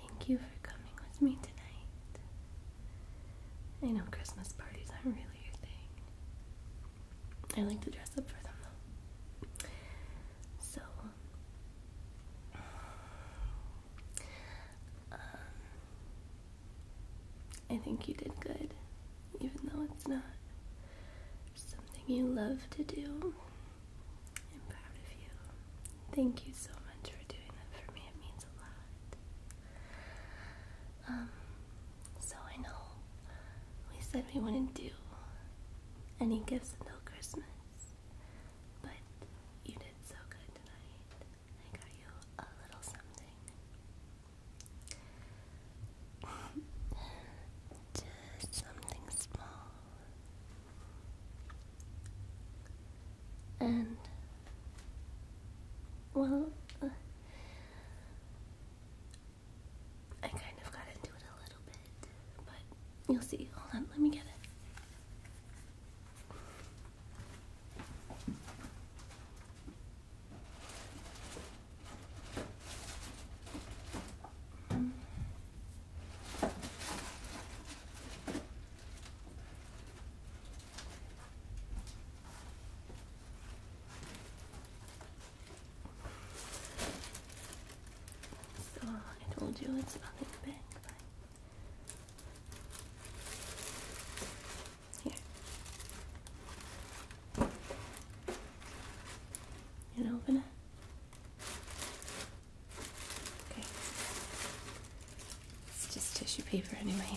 Thank you for coming with me tonight. I know Christmas parties aren't really your thing. I like to dress up for them though. So, um, I think you did good, even though it's not something you love to do. I'm proud of you. Thank you so much for doing that for me. It means a lot. Um, so I know we said we wouldn't do any gifts until Christmas, but you did so good tonight. I got you a little something. Just something small. And, well, uh, I kind of got into it a little bit, but you'll see. Hold on, let me get it. So it will do its other bit. Here and open Okay. It's just tissue paper anyway.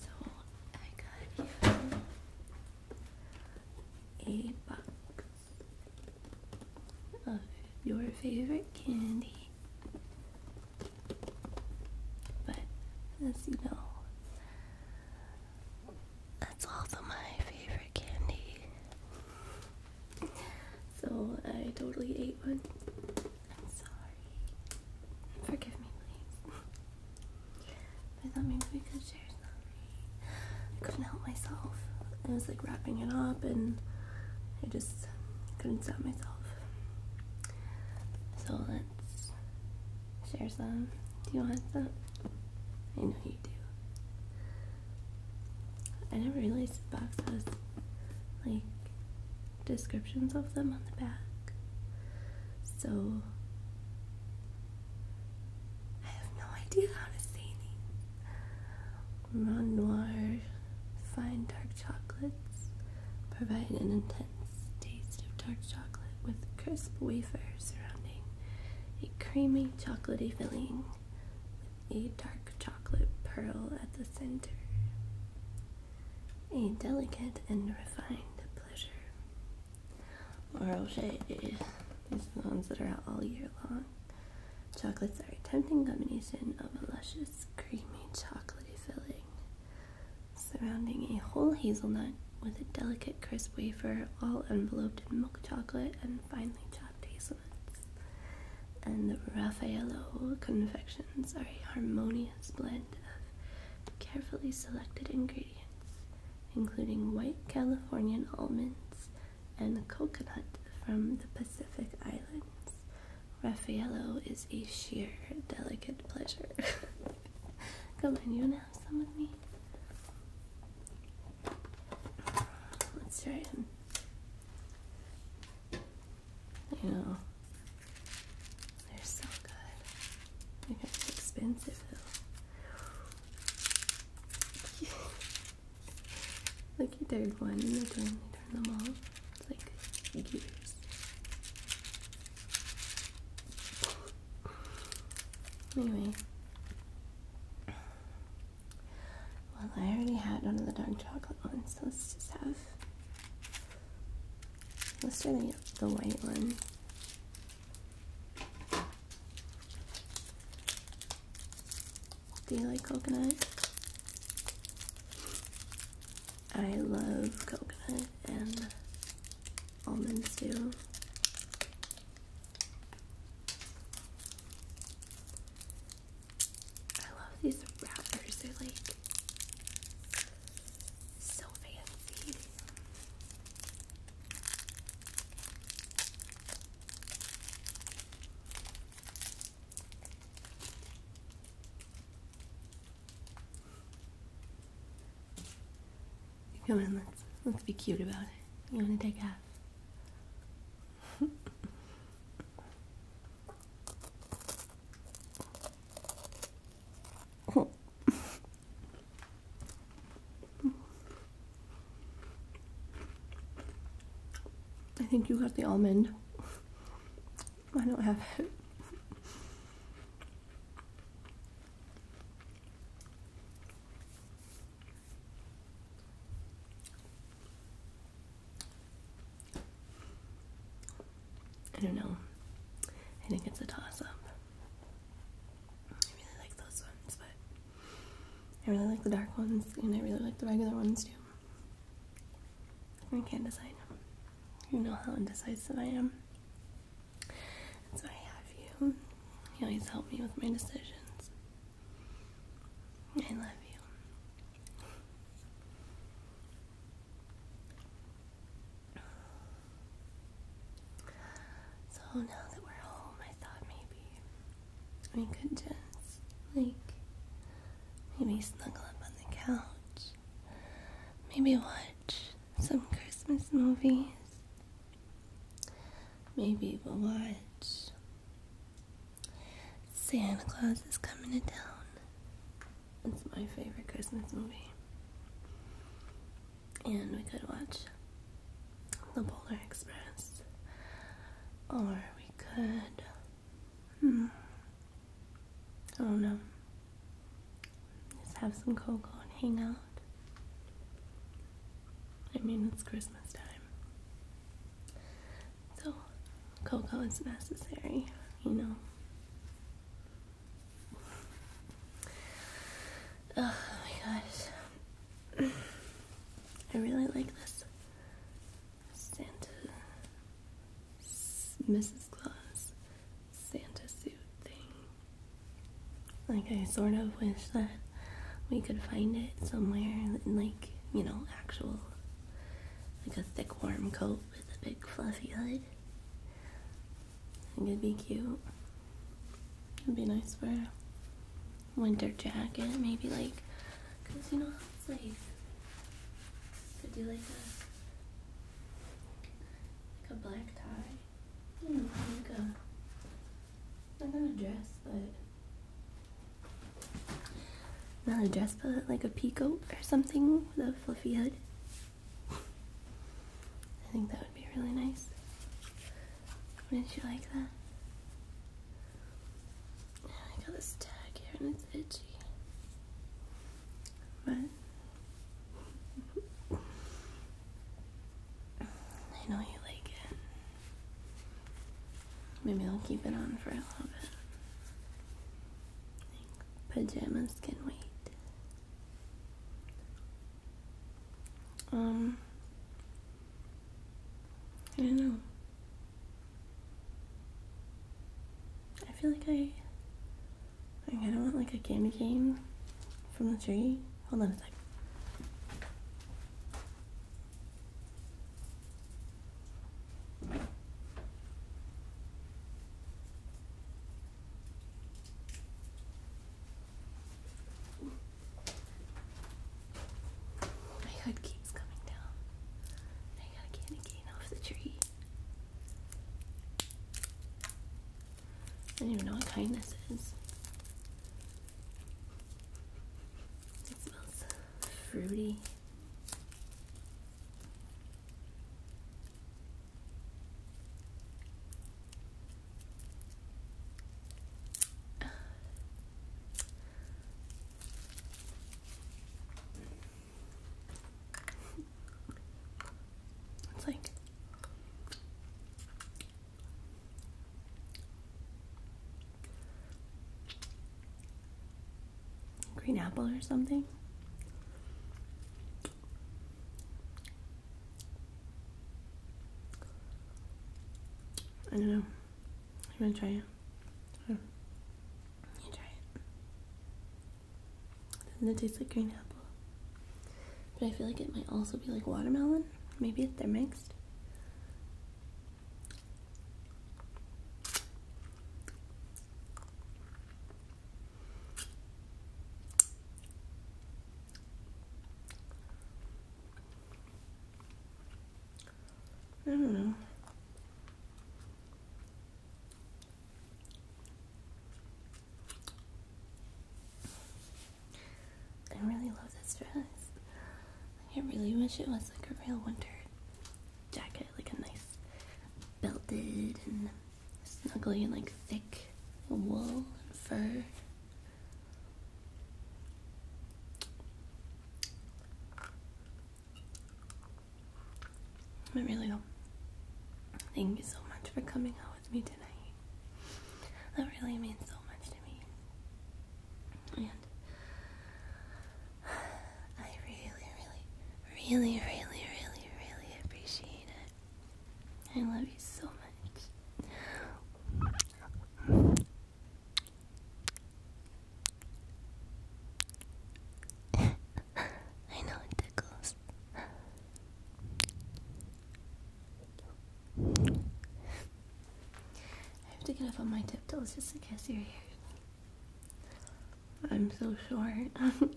So I got you a box of your favorite candy. But as you know, that's also my favorite candy. So I totally ate one. I'm sorry. Forgive me, please. I thought maybe we could share something. I couldn't help myself. I was like wrapping it up and I just couldn't stop myself. So let's share some. Do you want some? I know you do. I never realized the box has like descriptions of them on the back. So I have no idea how to say these. Ron Noir fine dark chocolates provide an intense taste of dark chocolate with crisp wafers surrounding a creamy chocolaty filling with a dark chocolate pearl at the center. A delicate and refined pleasure. Laurel is the ones that are out all year long. Chocolates are a tempting combination of a luscious, creamy, chocolatey filling, surrounding a whole hazelnut with a delicate, crisp wafer, all enveloped in milk chocolate and finely chopped hazelnuts. And the Raffaello confections are a harmonious blend of carefully selected ingredients, including white Californian almonds and coconut from the Pacific Islands Raffaello is a sheer delicate pleasure. Come on, you wanna have some with me? Let's try it. You know, they're so good. They're expensive though. Look, you did one and then turned, turned them off like Anyway, well, I already had one of the dark chocolate ones, so let's just have. Let's do the white one. Do you like coconut? I love coconut and almonds too. I love these wrappers, they're like so fancy. Come on, let's be cute about it. You wanna take half? I think you got the almond. I don't have it. I don't know. I think it's a toss up. I really like those ones, but I really like the dark ones, and I really like the regular ones too. I can't decide. You know how indecisive I am. And so I have you. You always help me with my decisions. I love you. So now that we're home, I thought maybe we could just like Maybe snuggle up on the couch. Maybe watch some Christmas movies. Maybe we'll watch Santa Claus is Coming to Town. It's my favorite Christmas movie. And we could watch The Polar Express. Or we could Hmm. I don't know. Just have some cocoa and hang out. I mean, it's Christmas time. So, cocoa is necessary, you know. Oh my gosh. I really like this Santa, Mrs. Claus, Santa suit thing. Like, I sort of wish that we could find it somewhere, in like, you know, actual, like a thick, warm coat with a big, fluffy hood. I think it'd be cute. It'd be nice for a winter jacket, maybe, like, because you know, it's like could you like a like a black tie. You know, like a like not a dress, but not a dress, but like a peacoat or something with a fluffy hood. I think that would be really nice. Wouldn't you like that? I got this tag here and it's itchy. But I know you like it. Maybe I'll keep it on for a little bit. Pajamas can wait. Um, I don't know. I feel like I I kind of want like a candy cane from the tree. Hold on a sec. My hood keeps coming down. I gotta get cane off the tree. I don't even know what kind this is. It smells fruity. It's like green apple or something. I don't know. You want to try it? Here. You try it. Doesn't it taste like green apple? But I feel like it might also be like watermelon. Maybe if they're mixed. I don't know. I really love this dress. I really wish it was like a real winter jacket, like a nice belted and snuggly and like thick wool and fur. I really do Thank you so much for coming out with me tonight. That really means so much to me. And I really, really, really, really, really, really appreciate it. I love you so much. I know it tickles. I have to get up on my tiptoes just to kiss your ears. I'm so short.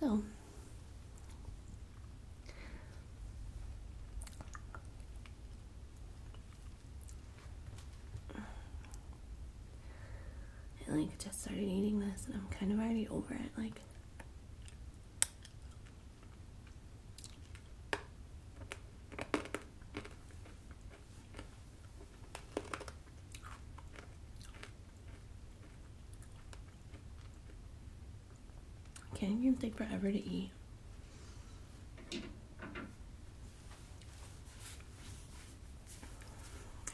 So, I like just started eating this and I'm kind of already over it. Like, can't even take forever to eat.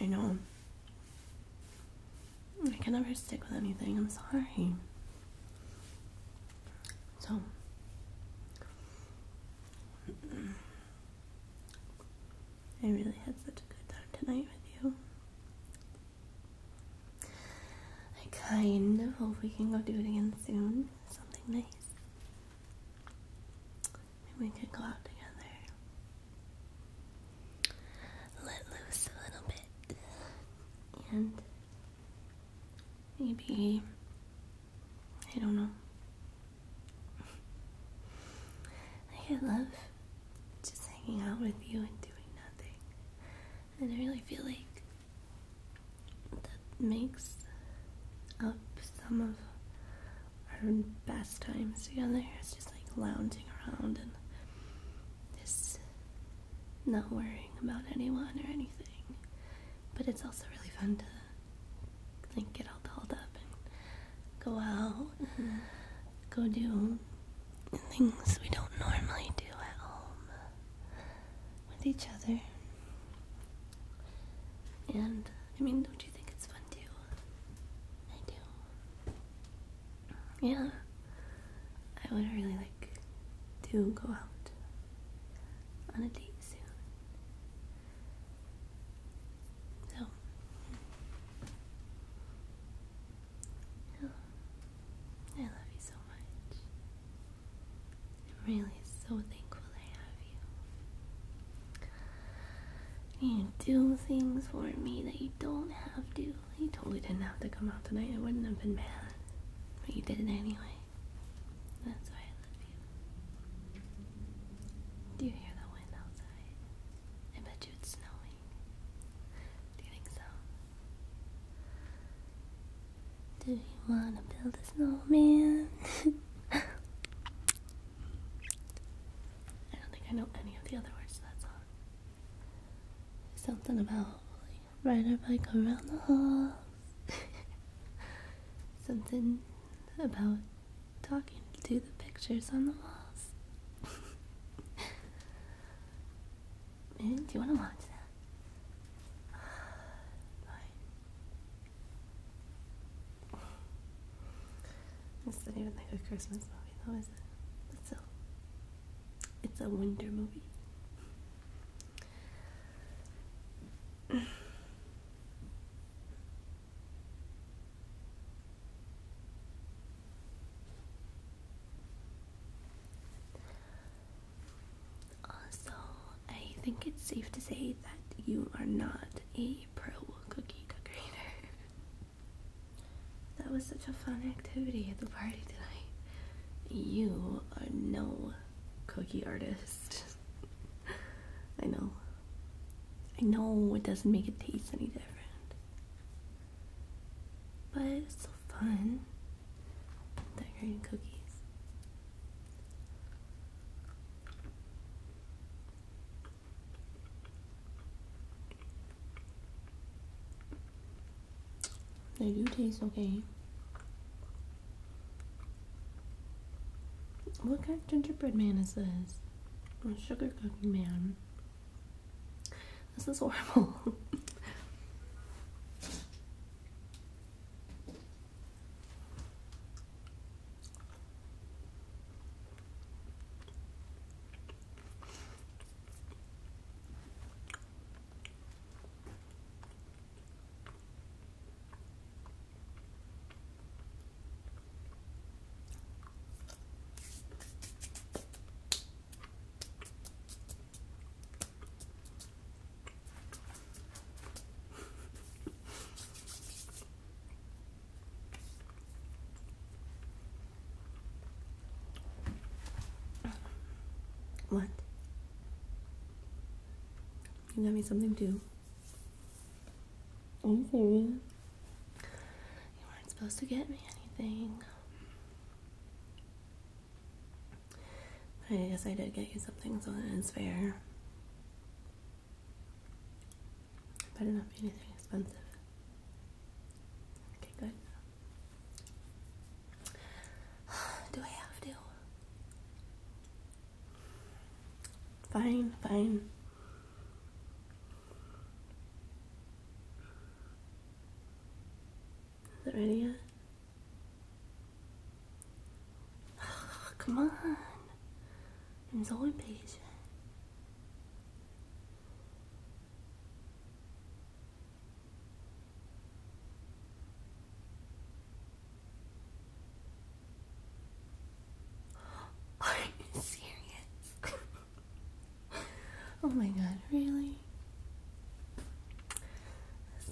I know. I can never stick with anything. I'm sorry. So. I really had such a good time tonight with you. I kind of hope we can go do it again soon. Something nice. Maybe we could go out together. Let loose a little bit. And maybe, I don't know. I love just hanging out with you and doing nothing. And I really feel like that makes up some of our best times together. It's just like lounging around and just not worrying about anyone or anything. But it's also really fun to like get all dolled up and go out, go do things we don't normally do at home with each other. And I mean, don't you think it's fun too? I do. Yeah. I would really like to go out on a date soon. So. Hello. I love you so much. I'm really so thankful I have you. You do things for me that you don't have to. You totally didn't have to come out tonight. It wouldn't have been bad, But you did it anyway. That's why I love you. Do you hear the wind outside? I bet you it's snowing. Do you think so? Do you wanna build a snowman? I don't think I know any of the other words to that song. Something about like a our bike around the house. Something about talking to the pictures on the walls. Do you want to watch that? Fine. not even like a Christmas movie, though, is it? But it's a winter movie. Also, I think it's safe to say that you are not a pro cookie decorator. that was such a fun activity at the party tonight. You are no cookie artist. I know. I know it doesn't make it taste any different. But it's so fun. Decorating cookies. They do taste okay. What kind of gingerbread man is this? Sugar cookie man. This is horrible. What? You got me something too? Are you weren't supposed to get me anything. I guess I did get you something, so that is fair. Better not be anything expensive. Okay, good. Do I have to? Fine, fine. Is it ready yet? come on. It's all so impatient. Are you serious? oh my god, really?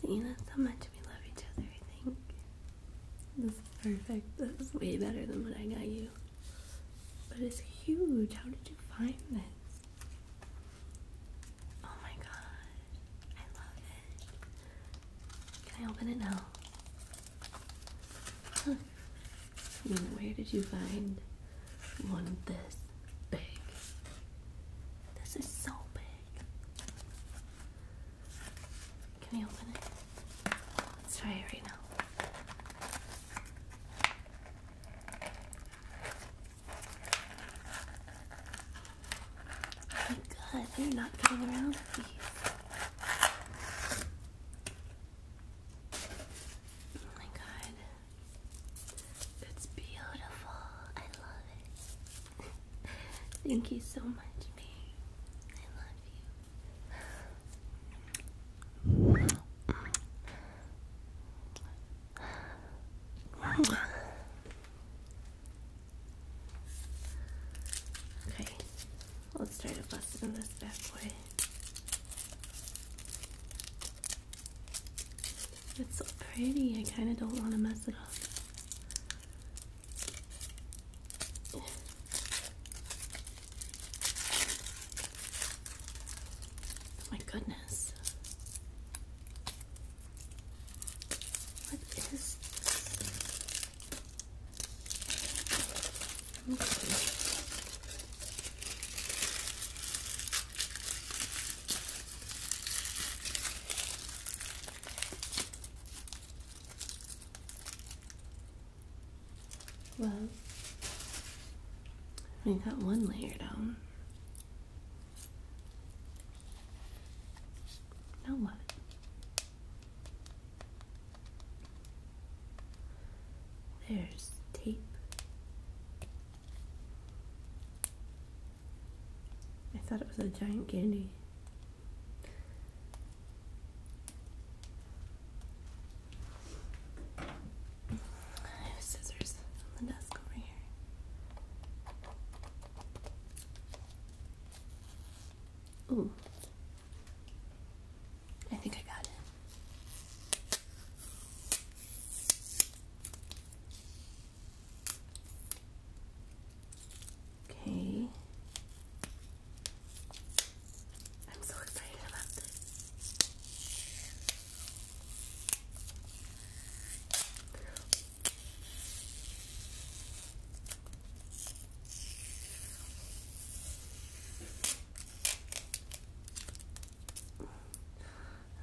See, how much we love each other, I think. This is perfect. This is way better than what I got you. But it's huge. How did you find this? Oh my god. I love it. Can I open it now? where did you find one this big? This is so big. Can we open it? Let's try it right now. Oh my god, you're not getting around Oh my god. It's beautiful. I love it. Thank you so much, babe. I love you. Okay. Let's try to bust in this back way. It's so pretty. I kind of don't want to mess it up. Oh my goodness. What is this? Okay. Well, we got one layer down. Now what? There's tape. I thought it was a giant candy. I have scissors on the desk over here. Ooh. I think I got it. Okay. I'm so excited about this.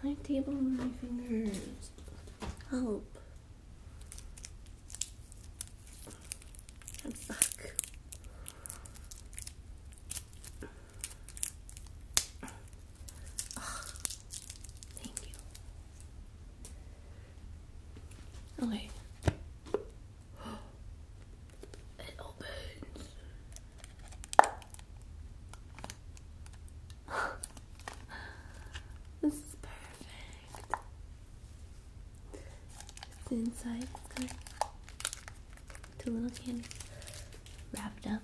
I table my fingers. Help. I'm stuck. thank you. Okay. it opens. this is perfect. inside. two little candies wrapped up.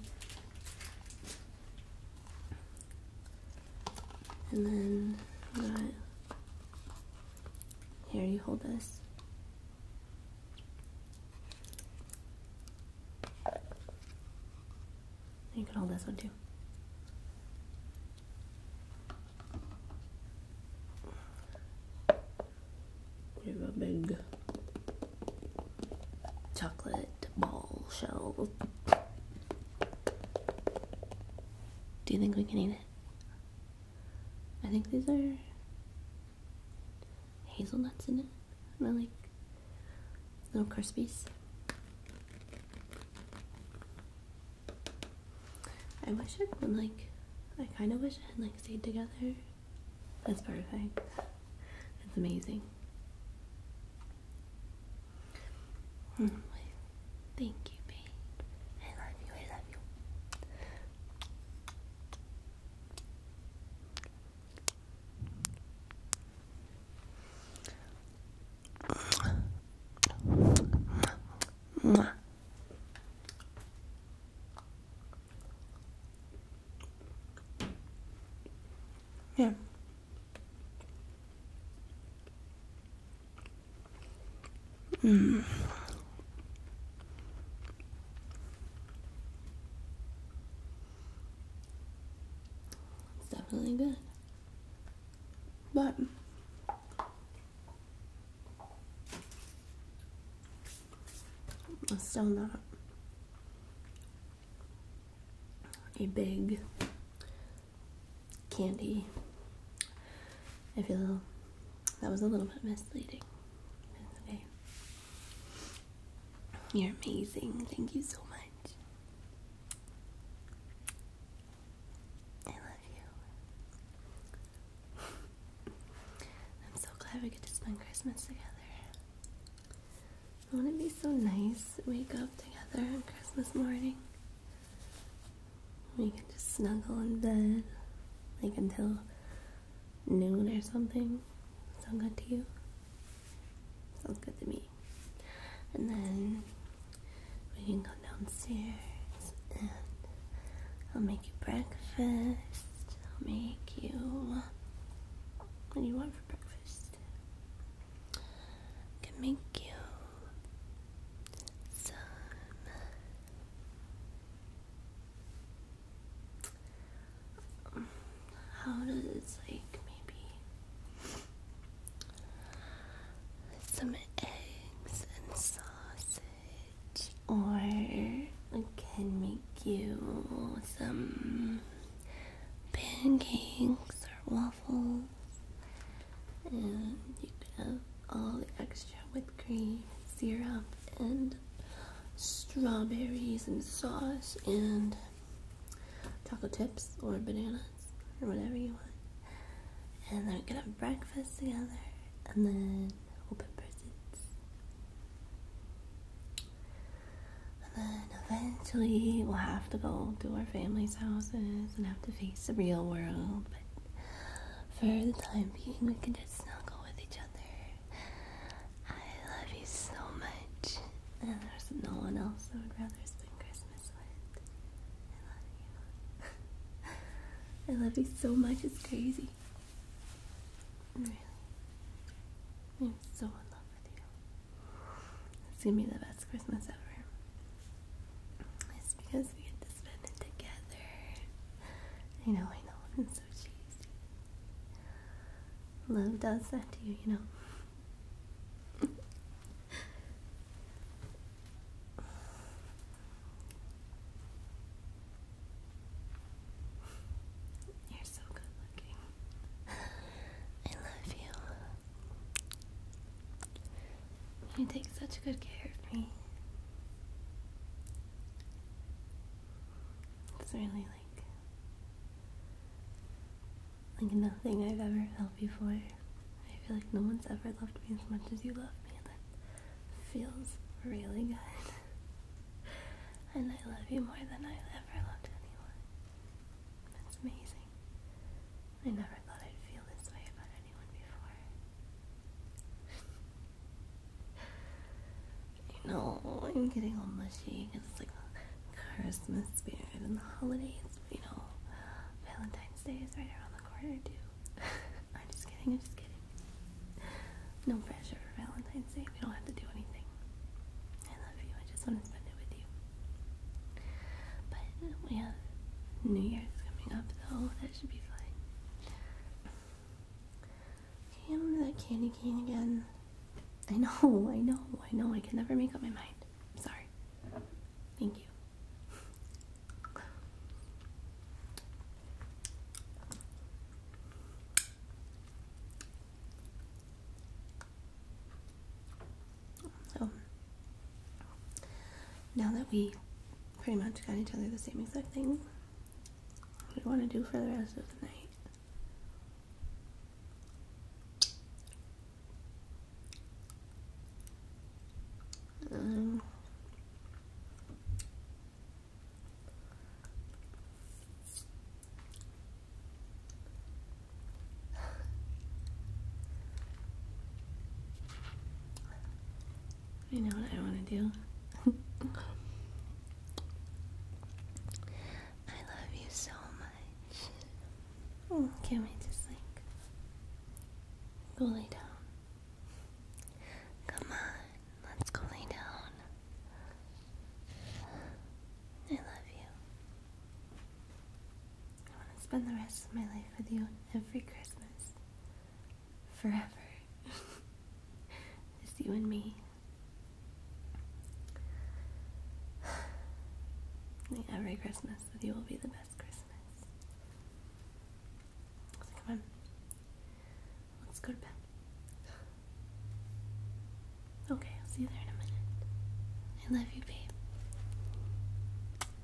And then got here, you hold this. You can hold this one too. We have a big chocolate ball shell. Do you think we can eat it? I think these are hazelnuts in it. They're like little crispies. I wish I would like I kind of wish I had like stayed together. That's perfect. That's amazing. Hmm, Thank you, babe. I love you, I love you. Yeah. Mm. It's definitely good. But it's still not a big candy. I feel that was a little bit misleading. You're amazing. Thank you so much. I love you. I'm so glad we get to spend Christmas together. Wouldn't it be so nice to wake up together on Christmas morning? We can just snuggle in bed, like until noon or something. Sound good to you? Sounds good to me. And then we can go downstairs and I'll make you breakfast. I'll make you. What do you want for breakfast? I can make you sun. How does like maybe some eggs and sausage, or I can make you some pancakes or waffles and you can have all the extra with cream, syrup, and strawberries and sauce and chocolate chips or bananas or whatever you want. And then we are gonna have breakfast together and then open presents. And then eventually we'll have to go to our family's houses and have to face the real world for the time being, we can just snuggle with each other. I love you so much, and there's no one else I would rather spend Christmas with. I love you. I love you so much, it's crazy. Really. I'm so in love with you. It's gonna be the best Christmas ever. It's because we get to spend it together. I know, I know, I'm so cheesy. Love does that to you, you know. You're so good looking. I love you. You take such good care of me. It's really like like nothing I've ever felt before. I feel like no one's ever loved me as much as you love me, and that feels really good. and I love you more than I've ever loved anyone. That's amazing. I never thought I'd feel this way about it anyone I'm getting all mushy because it's like Christmas spirit and the holidays, you know, Valentine's Day is right around the corner too. I'm just kidding, I'm just kidding. No pressure for Valentine's Day, we don't have to do anything. I love you, I just want to spend it with you. But we have New Year's coming up though, that should be fine. I'm on that candy cane again. I know, I know, I know. I can never make up my mind. I'm sorry. Thank you. So now that we pretty much got each other the same exact thing, what do you want to do for the rest of the night? Um, I know what I want to do. I love you so much. can we just like go lay down? Come on, let's go lay down. I love you. I want to spend the rest of my life with you every Christmas. Forever. Just you and me. Every Christmas with you will be the best Christmas. come on. Let's go to bed. Okay, I'll see you there in a minute. I love you, babe.